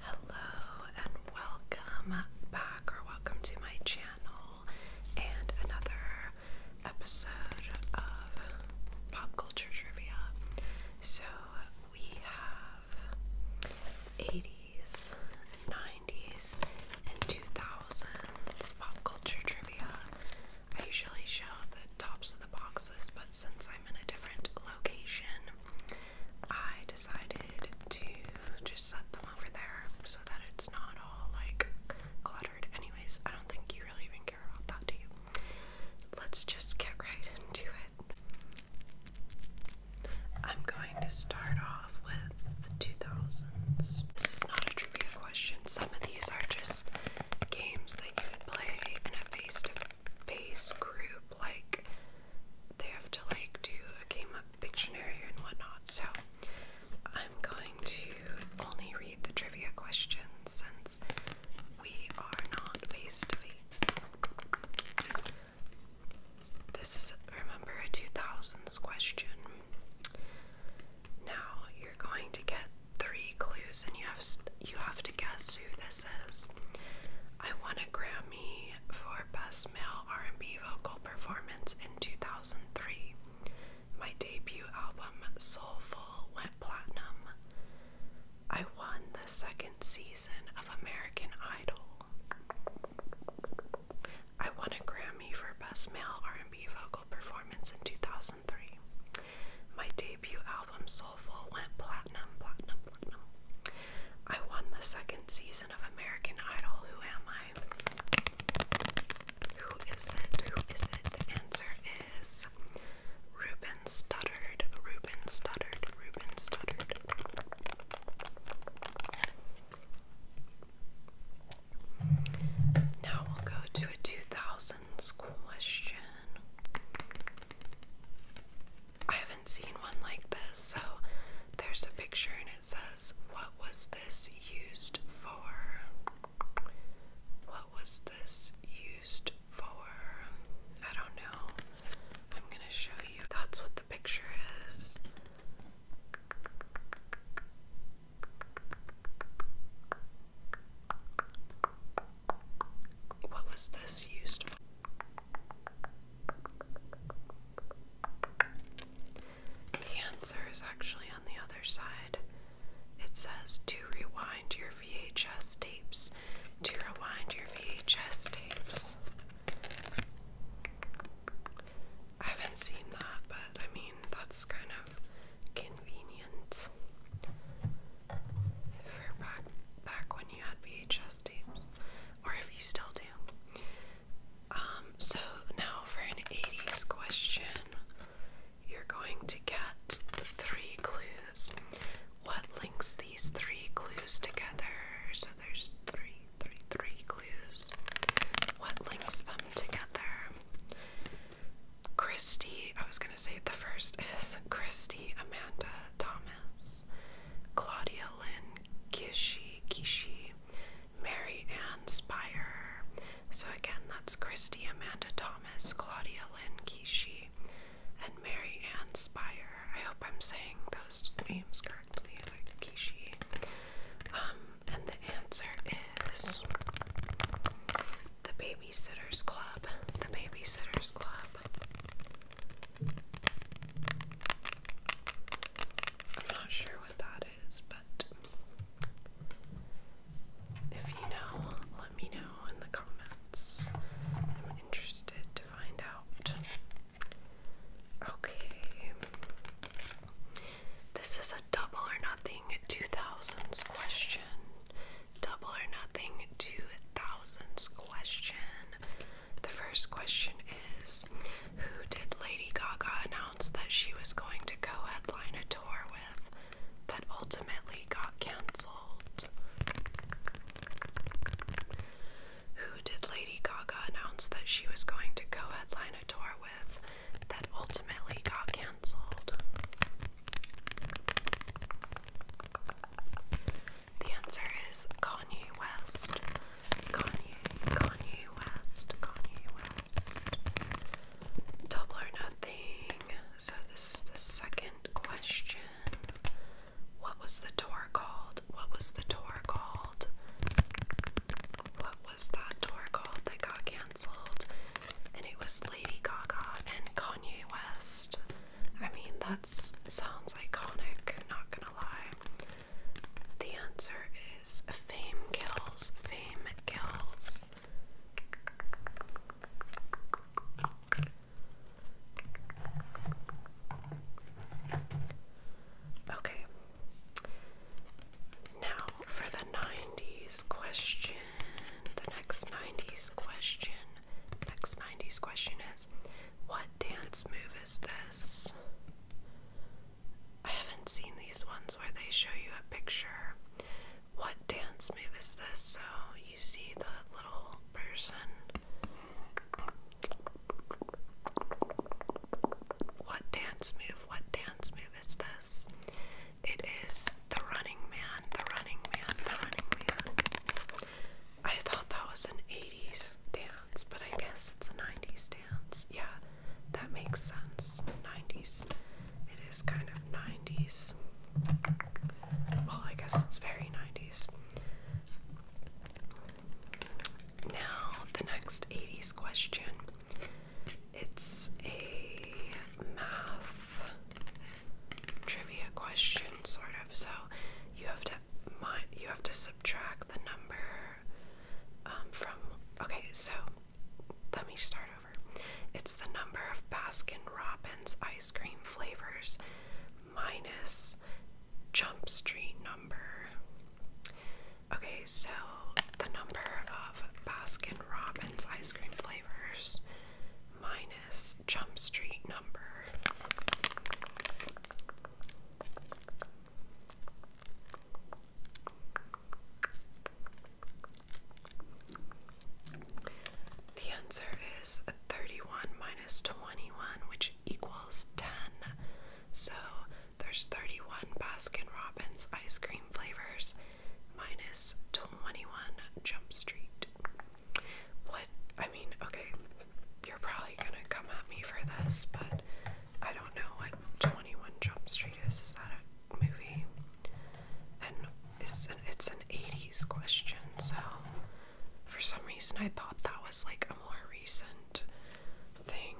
Hello and welcome back, or welcome to my channel and another episode of Pop Culture Trivia. So we have 80s, 90s, and 2000s pop culture trivia. I usually show the tops of the boxes, but since I'm in a different location, I decided to just set them over there so that it's not all like cluttered. Anyways, I don't think you really even care about that, do you? Let's just get right into it. I'm going to start off with the 2000s. This is not a trivia question. Some of these are just games that you would play in a face to base group, like they have to like do a game of dictionary and whatnot. So I'm going to only read the trivia questions since we are not face to face. This is, remember, a 2000s question. Now you're going to get three clues, and you have you have to guess I won a Grammy for Best Male R&B Vocal Performance in 2003. My debut album, Soulful, went platinum. I won the second season of American Idol. I won a Grammy for Best Male R&B Vocal Performance in 2003. My debut album Soulful went platinum, platinum, platinum. I won the second season of American Idol. Who am I? Who is it? Who is it? The answer is Ruben Studdard. Ruben Studdard. Ruben Studdard. Now we'll go to a 2000s question. I haven't seen one like this, so there's a picture and it says, What was this used for? What was this used for? I don't know. I'm gonna show you. That's what the picture is. What was this used for? The answer is actually on the other side. It says to rewind your VHS tapes. To rewind your VHS tapes. I haven't seen that, but I mean, that's kind of convenient for back when you had VHS tapes, or if you still do. Um, so now for an 80s question, you're going to get three clues. What links these three clues together? So there's three, three, three clues. What links them together? Christy, I was going to say the first is Christy Amanda Thomas, Claudia Lynn Kishi Kishi, Mary Ann Spire. So again, that's Christy Amanda Thomas, Claudia Lynn Kishi, and Mary Ann Spire. I hope I'm saying those names correctly, like Kishi. Um, and the answer is the Babysitter's Club. The Babysitter's Club. I'm not sure what that is, but if you know, let me know in the comments. I'm interested to find out. Okay. This is a double or nothing 2000s question. Double or Nothing 2000s question. The first question is Who did Lady Gaga announce that she was going to co headline a tour with that ultimately got cancelled? Who did Lady Gaga announce that she was going to co headline a tour with that ultimately got cancelled? The answer is Kanye West. Kanye, Kanye West, Kanye West. Double or nothing. So, this is the second question. What was the tour called? What was the tour called? What was that tour called that got cancelled? and it was Lady Gaga and Kanye West. I mean, that sounds iconic, not gonna lie. The answer is Fame Kills, Fame Kills. Okay. Now for the 90s question the next 90s question. The Next 90s question is What dance move is this? I haven't seen these ones where they show you a picture. What dance move is this? So you see the little person. What dance move? What dance move is this? It is The Running Man, The Running Man, The Running Man. I thought that was an 80s dance, but I guess it's a 90s dance. Yeah, that makes sense. 90s. It is kind of 90s. Well, I guess it's very 90s. Now, the next 80s question. It's a math trivia question, sort of. So you have to you have to subtract the number um, from. Okay, so let me start over. It's the number of Baskin Robbins ice cream flavors minus Jump Street number. Okay, so the number of Baskin Robbins ice cream flavors flavors minus Jump Street number. The answer is 31 minus 21, which equals 10. So there's 31 Baskin Robbins ice cream flavors minus 21 Jump Street. What? I mean, okay, you're probably gonna come at me for this, but I don't know what 21 Jump Street is. Is that a movie? And it's an, it's an 80s question, so for some reason I thought that was like a more recent thing.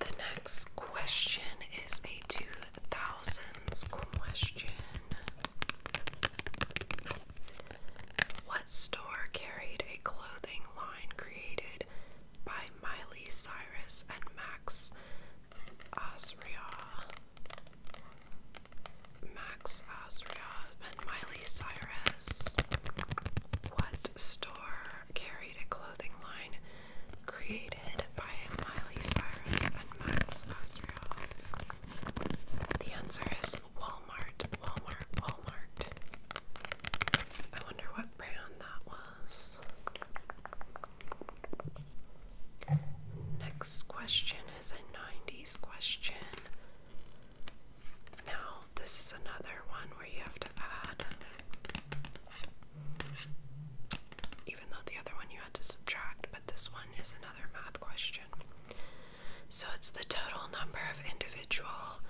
The next question is a 2000s question. What store carried a clothing line created by Miley Cyrus and Max Azria? Max Asria and Miley Cyrus. What store carried a clothing line created by Miley Cyrus and Max Osriel. The answer is Walmart, Walmart, Walmart. I wonder what brand that was. Next question is a 90s question. Now, this is another one where you have to add even though the other one you had to subtract, but this one is another math question. So it's the total number of individual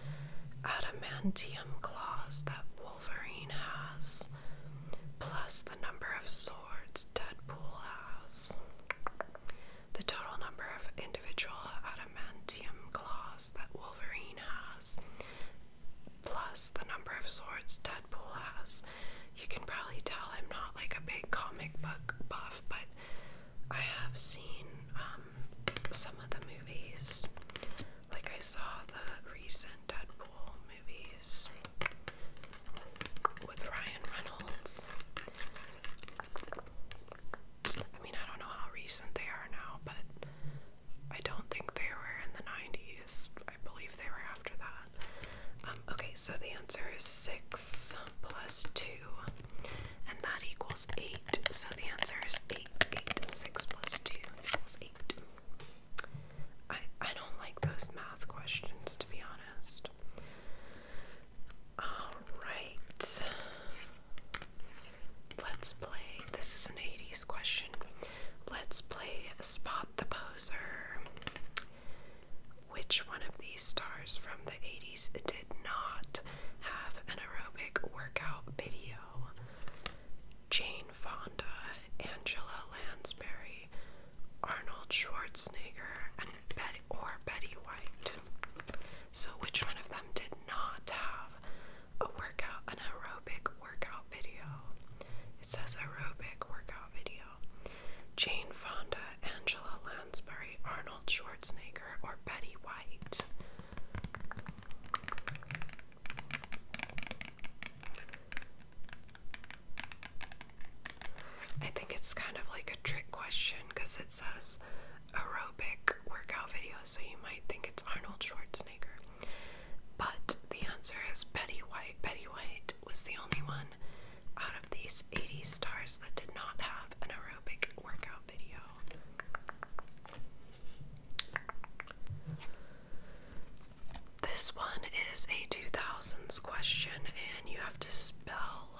adamantium claws that Wolverine has, plus the number of swords Deadpool has. The total number of individual adamantium adamantium claws that Wolverine has, plus the number of swords Deadpool has. You can probably tell I'm not like a big comic book buff, but I have seen um, some of the movies. Like, I saw the recent Deadpool movies with Ryan Reynolds. I mean, I don't know how recent they are now, but I don't think they were in the 90s. I believe they were after that. Um, okay, so the answer is 6 plus 2, and that equals 8. So the answer is 8. 8 6 plus 2 equals 8. I, I don't like those math questions, to be honest. Alright. Let's play. This is an 80s question. Let's play Spot the Poser. Which one of these stars from the 80s did not have an aerobic workout video? Jane Fonda, Angela Lansbury, Arnold Schwarzenegger, and Betty or Betty White. So, which one of them did not have a workout, an aerobic workout video. It says aerobic workout video. Jane Fonda, Angela Lansbury, Arnold Schwarzenegger, or Betty White. I think it's kind of like a trick question because it says aerobic workout videos, so you might think it's Arnold Schwarzenegger. But the answer is Betty White. Betty White was the only one out of these 80 stars that did not have an aerobic workout video. This one is a 2000s question, and you have to spell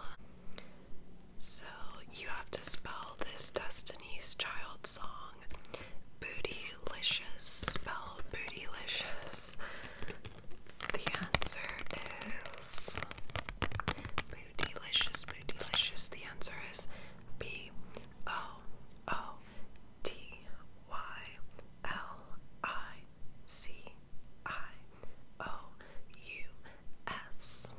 so you have to spell this Destiny's Child song Bootylicious. Spelled Bootylicious. The answer is Bootylicious, Bootylicious. The answer is B O O T Y L I C I O U S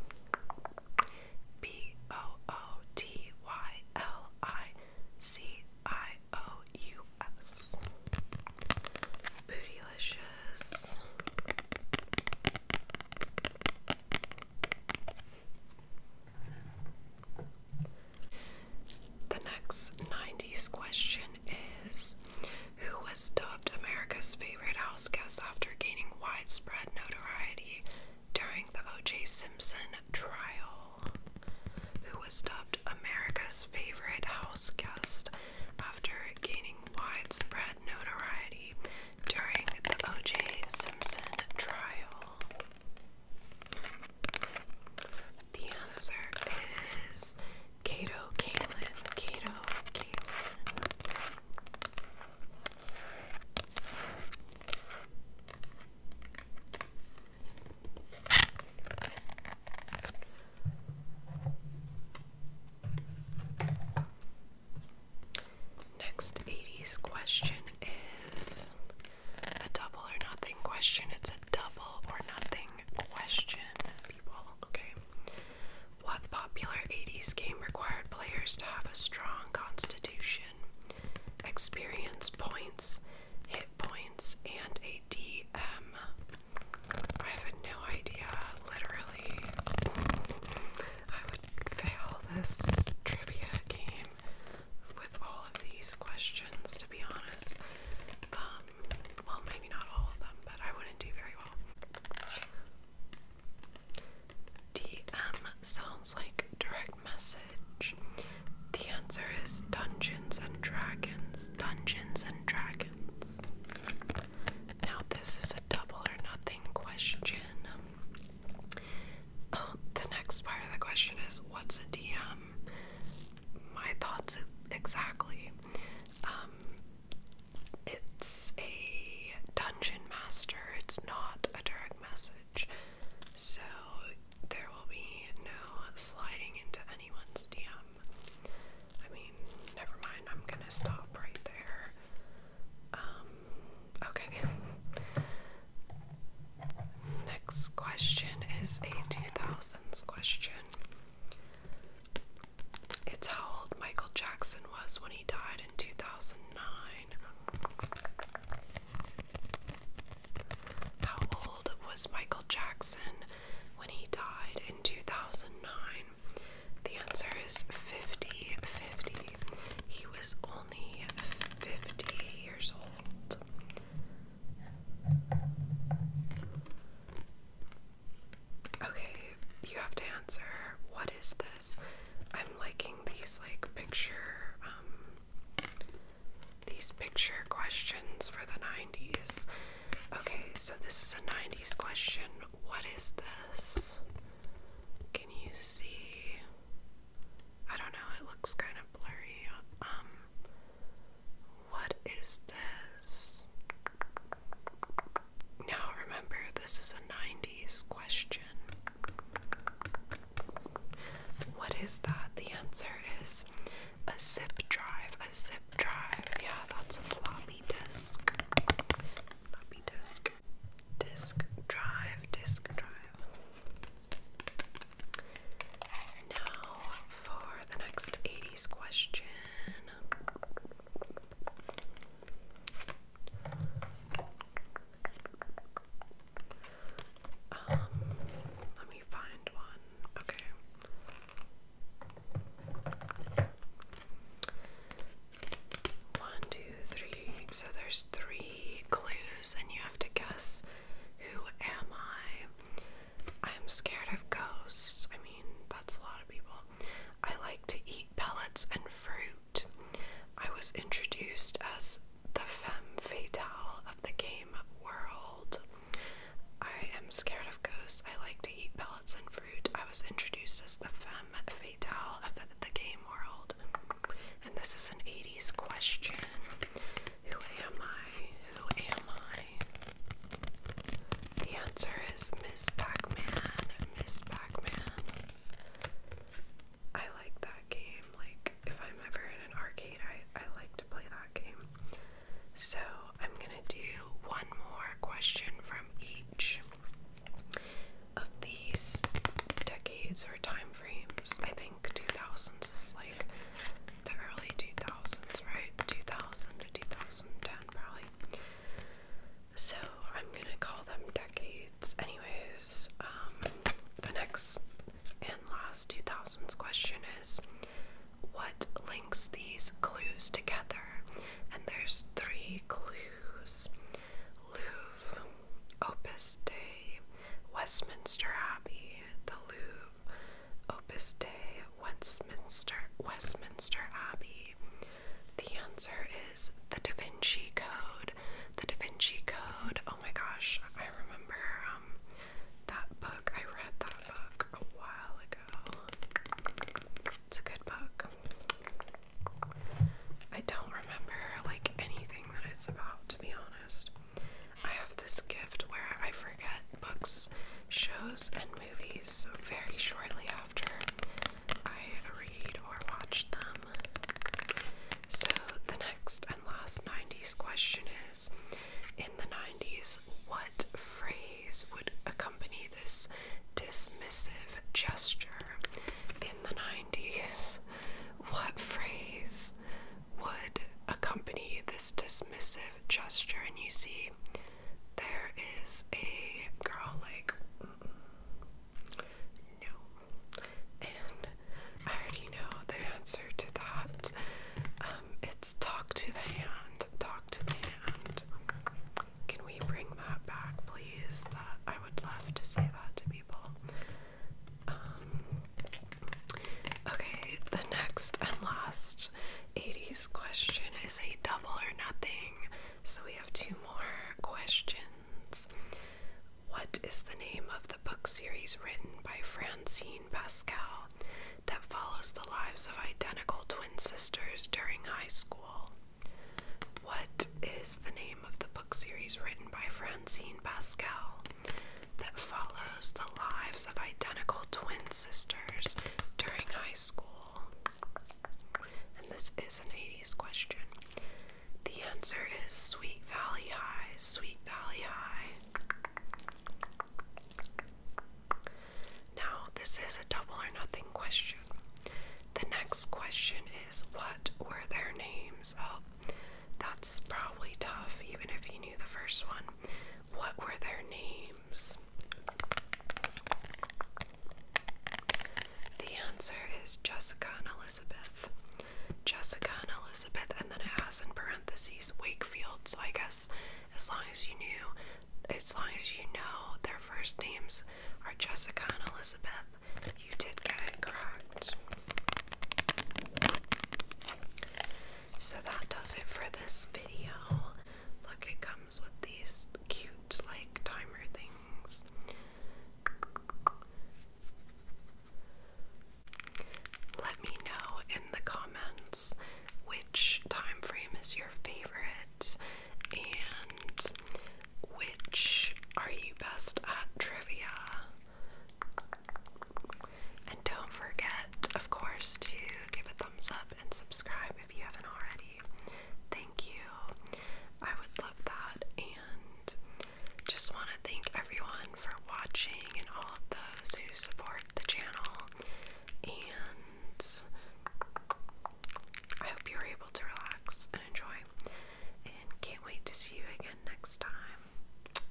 B O O T Y L I C I O U S. Bootylicious. The next 90s question is Who was dubbed America's favorite houseguest after gaining widespread notoriety during the O.J. Simpson trial, who was dubbed America's favorite house guest after gaining widespread notoriety during the O.J. Simpson trial. The answer is Kato Kalin. Cato Kalin. Next 80s question is a double or nothing question. It's a double or nothing question, people. Okay. What popular 80s game required players to have a strong constitution, experience points, hit points, and a DM? I have no idea, literally. I would fail this trivia game with all of these questions, to be honest. Um, well, maybe not all of them, but I wouldn't do very well. DM sounds like direct message. The answer is Dungeons and Dragons. Dungeons and Dragons. Now, this is a double or nothing question. Oh, the next part of the question is what's a DM? My thoughts exactly. Um, it's a dungeon master, it's not a direct message. So there will be no sliding into anyone's DM. I mean, never mind, I'm gonna stop right there. Um, okay. Next question is a 2000s question. It's how old Michael Jackson was when he died in 2009. How old was Michael Jackson when he died in 2009? The answer is 50 50. He was only 50 years old. Okay, you have to answer. What is this? I'm liking these like picture um these picture questions for the 90s. Okay, so this is a 90s question. What is this? Can you see? I don't know, it looks kind of blurry. Um what is this? Now remember, this is a 90s question. What is that? The answer is a zip drive. A zip drive. Yeah, that's a floppy disk. Floppy disk. Disk drive. Disk drive. Now for the next 80s question. Um, let me find one. Okay. One, two, three. So there's three clues, and you have to guess who am I? I'm scared of ghosts. I mean, that's a lot of people. I like to eat pellets and fruit. I was introduced as the femme fatale of the game world. I am scared of ghosts. I like to eat pellets and fruit. I was introduced as the femme fatale of the game world. And this is an 80s question. Who am I? Who am I? The answer is Miss Pac Man. Miss Pac Man. I like that game. Like, if I'm ever in an arcade, I, I like to play that game. So, I'm gonna do one more question from each of these decades or time frames. I think 2000s is like the early 2000s, right? 2000 to 2010, probably. So I'm gonna call them decades. Anyways, um, the next and last 2000s question is what links these clues together? And there's three clues Louvre, Opus Dei, Westminster Abbey, the Louvre, Opus Day, Westminster, Westminster Abbey? The answer is the Da Vinci Code. The Da Vinci Code. Oh my gosh, I remember um, that book. I read that book a while ago. It's a good book. I don't remember like anything that it's about to be honest. I have this gift where I forget books, shows, and movies very shortly after I read or watched them. So, the next and last 90s question is In the 90s, what phrase would accompany this dismissive gesture? In the 90s, what phrase would accompany this dismissive gesture? And you see there is a girl like mm, no, and I already know the answer to that. Um, it's talk to the hand. Talk to the hand. Can we bring that back, please? That I would love to say that to people. Um, okay, the next and last 80s question is a double or nothing. So we have two more questions. What is the name of the book series written by Francine Pascal that follows the lives of identical twin sisters during high school? What is the name of the book series written by Francine Pascal that follows the lives of identical twin sisters during high school? And this is an 80s question. The answer is Sweet Valley High, Sweet Valley High. Now, this is a double or nothing question. The next question is What were their names? Oh, that's probably tough, even if you knew the first one. What were their names? The answer is Jessica and Elizabeth. Jessica and Elizabeth, and then it has in parentheses Wakefield, so I guess as long as you knew, as long as you know their first names are Jessica and Elizabeth, you did get it correct. So that does it for this video. Look, it comes with these cute, like, timer things. Let me know in the comments which time frame is your favorite and which are you best at trivia. And don't forget, of course, to give a thumbs up and subscribe if you haven't already. Thank you. I would love that. And just want to thank everyone for watching and all of those who support the channel. And I hope you are able to relax and enjoy. And can't wait to see you again next time.